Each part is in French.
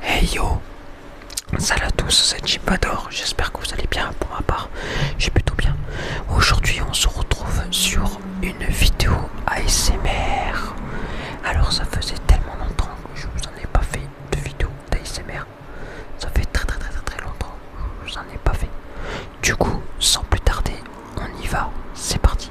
Hey yo Salut à tous, c'est Chipador, j'espère que vous allez bien, pour ma part, j'ai plutôt bien. Aujourd'hui on se retrouve sur une vidéo ASMR. Alors ça faisait tellement longtemps que je vous en ai pas fait de vidéo d'ASMR. Ça fait très très très très très longtemps que je vous en ai pas fait. Du coup, sans plus tarder, on y va, c'est parti.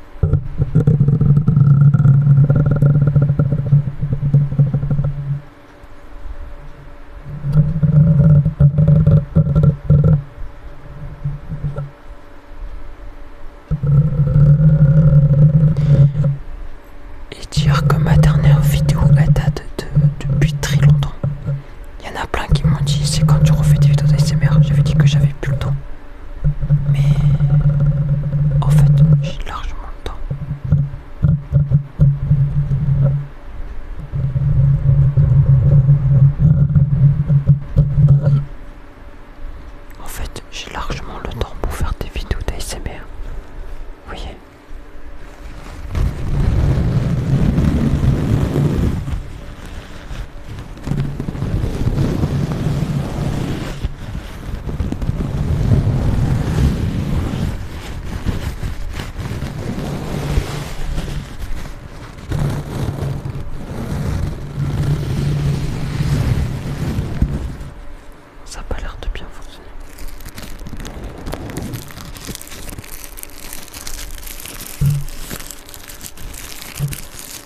Et dire que ma dernière vidéo elle date de, depuis très longtemps. Il y en a plein qui m'ont dit c'est quand tu refais des vidéos d'ASMR. J'avais dit que j'avais plus le temps. Mais en fait, j'ai largement le temps. En fait, j'ai largement le temps pour faire des vidéos d'ASMR. Vous voyez ça n'a pas l'air de bien fonctionner.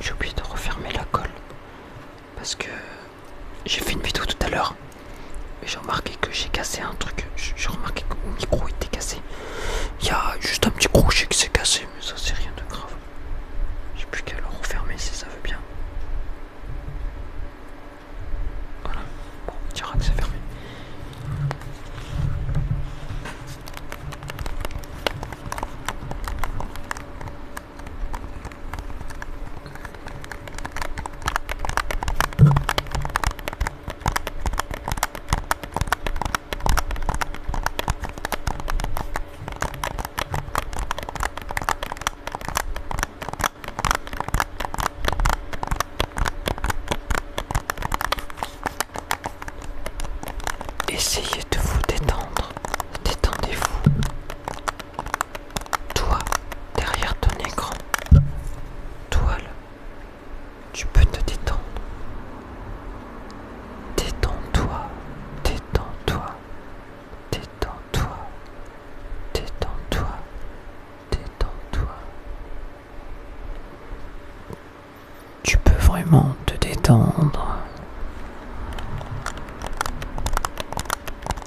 J'ai oublié de refermer la colle. Parce que j'ai fait une vidéo tout à l'heure et j'ai remarqué que j'ai cassé un truc. J'ai remarqué que mon micro était cassé. Il y a juste un petit crochet qui s'est cassé, mais ça c'est rien de grave. J'ai plus qu'à le refermer si ça veut bien. Voilà, on dira que c'est fermé. Essayez de vous détendre, détendez-vous. Toi, derrière ton écran, toile, tu peux te détendre. Détends-toi, détends-toi, détends-toi, détends-toi, détends-toi. Tu peux vraiment te détendre.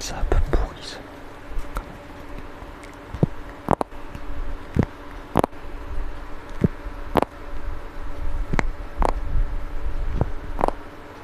Ça a pas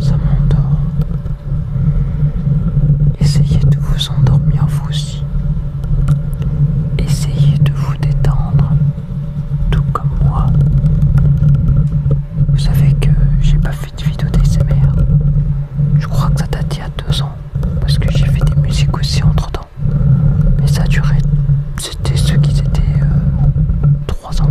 Ça m'endort. Essayez de vous endormir vous Essayez de vous détendre, tout comme moi. Vous savez que j'ai pas fait de vidéo d'ASMR. Je crois que ça date il y a deux ans, parce que j'ai fait des musiques aussi entre temps. Mais ça durait, duré, c'était ce qui étaient 3 euh, trois ans.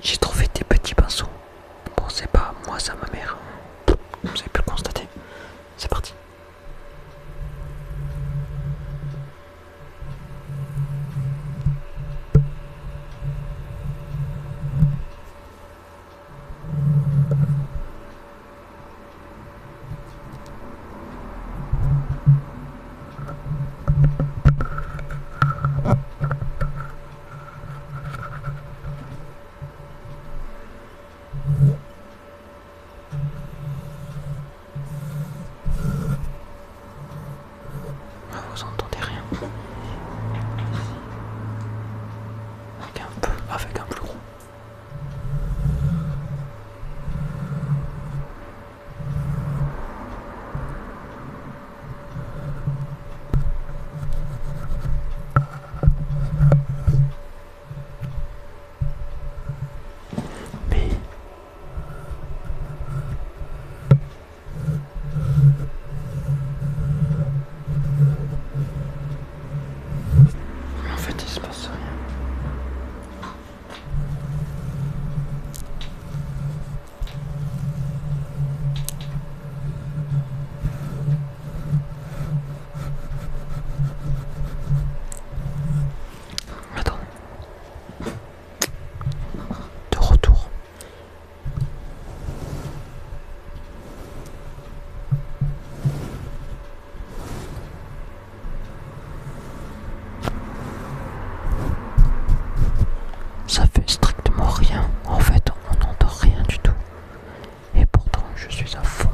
J'ai trouvé des petits pinceaux. Bon, c'est pas moi, ça, ma mère. Vous avez pu le constater. C'est parti. Vous entendez rien avec un, peu, avec un plus gros en fait, il se passe rien. Attends. De retour. Ça fait strictement rien, en fait on n'entend rien du tout. Et pourtant je suis à fond.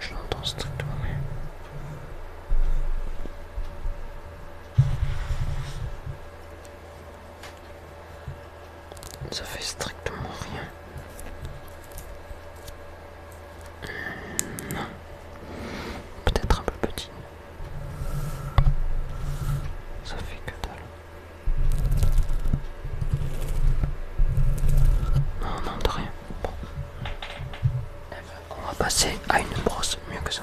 Je l'entends strictement rien. Ça fait strictement rien. Non. Hmm. Peut-être un peu petit. Ça fait que dalle. Non, non, de rien. Eh ben, on va passer à une brosse, mieux que ça.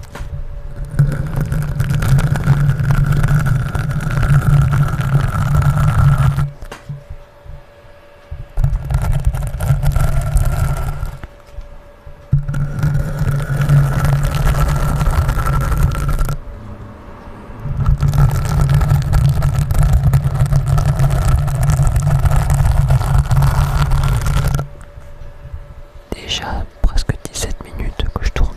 Déjà presque 17 minutes que je tourne.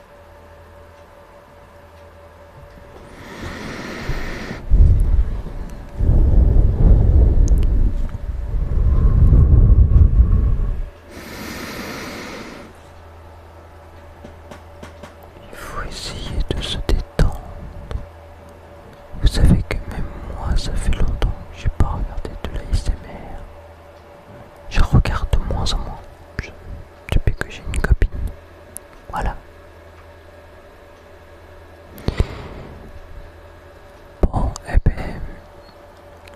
Il faut essayer de se détendre. Vous savez que même moi, ça fait longtemps que j'ai pas regardé de la je regarde de moins en moins depuis que j'ai une copine. Voilà. Bon, et eh bien,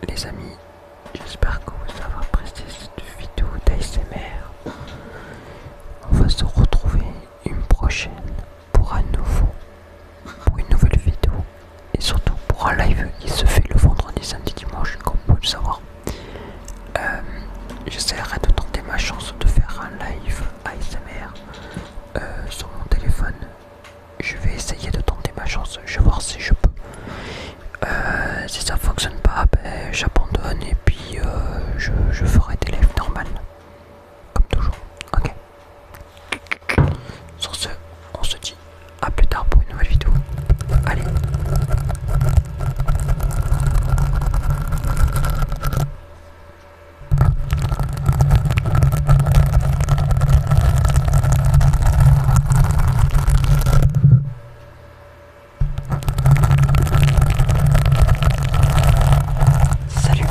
les amis, j'espère que vous avez apprécié cette vidéo d'ASMR. On va se retrouver une prochaine pour un nouveau, pour une nouvelle vidéo et surtout pour un live qui se fait le vendredi, samedi, dimanche, comme vous le savoir. Euh, j'essaierai de tenter ma chance de faire un live ASMR euh, sur mon téléphone. Je vais essayer de tenter ma chance, je vais voir si je peux. Euh, si ça fonctionne pas, ben, j'abandonne et puis je, je ferai des lives normales. Comme toujours. Ok. Sur ce, on se dit à plus tard pour une nouvelle vidéo. Allez. Salut.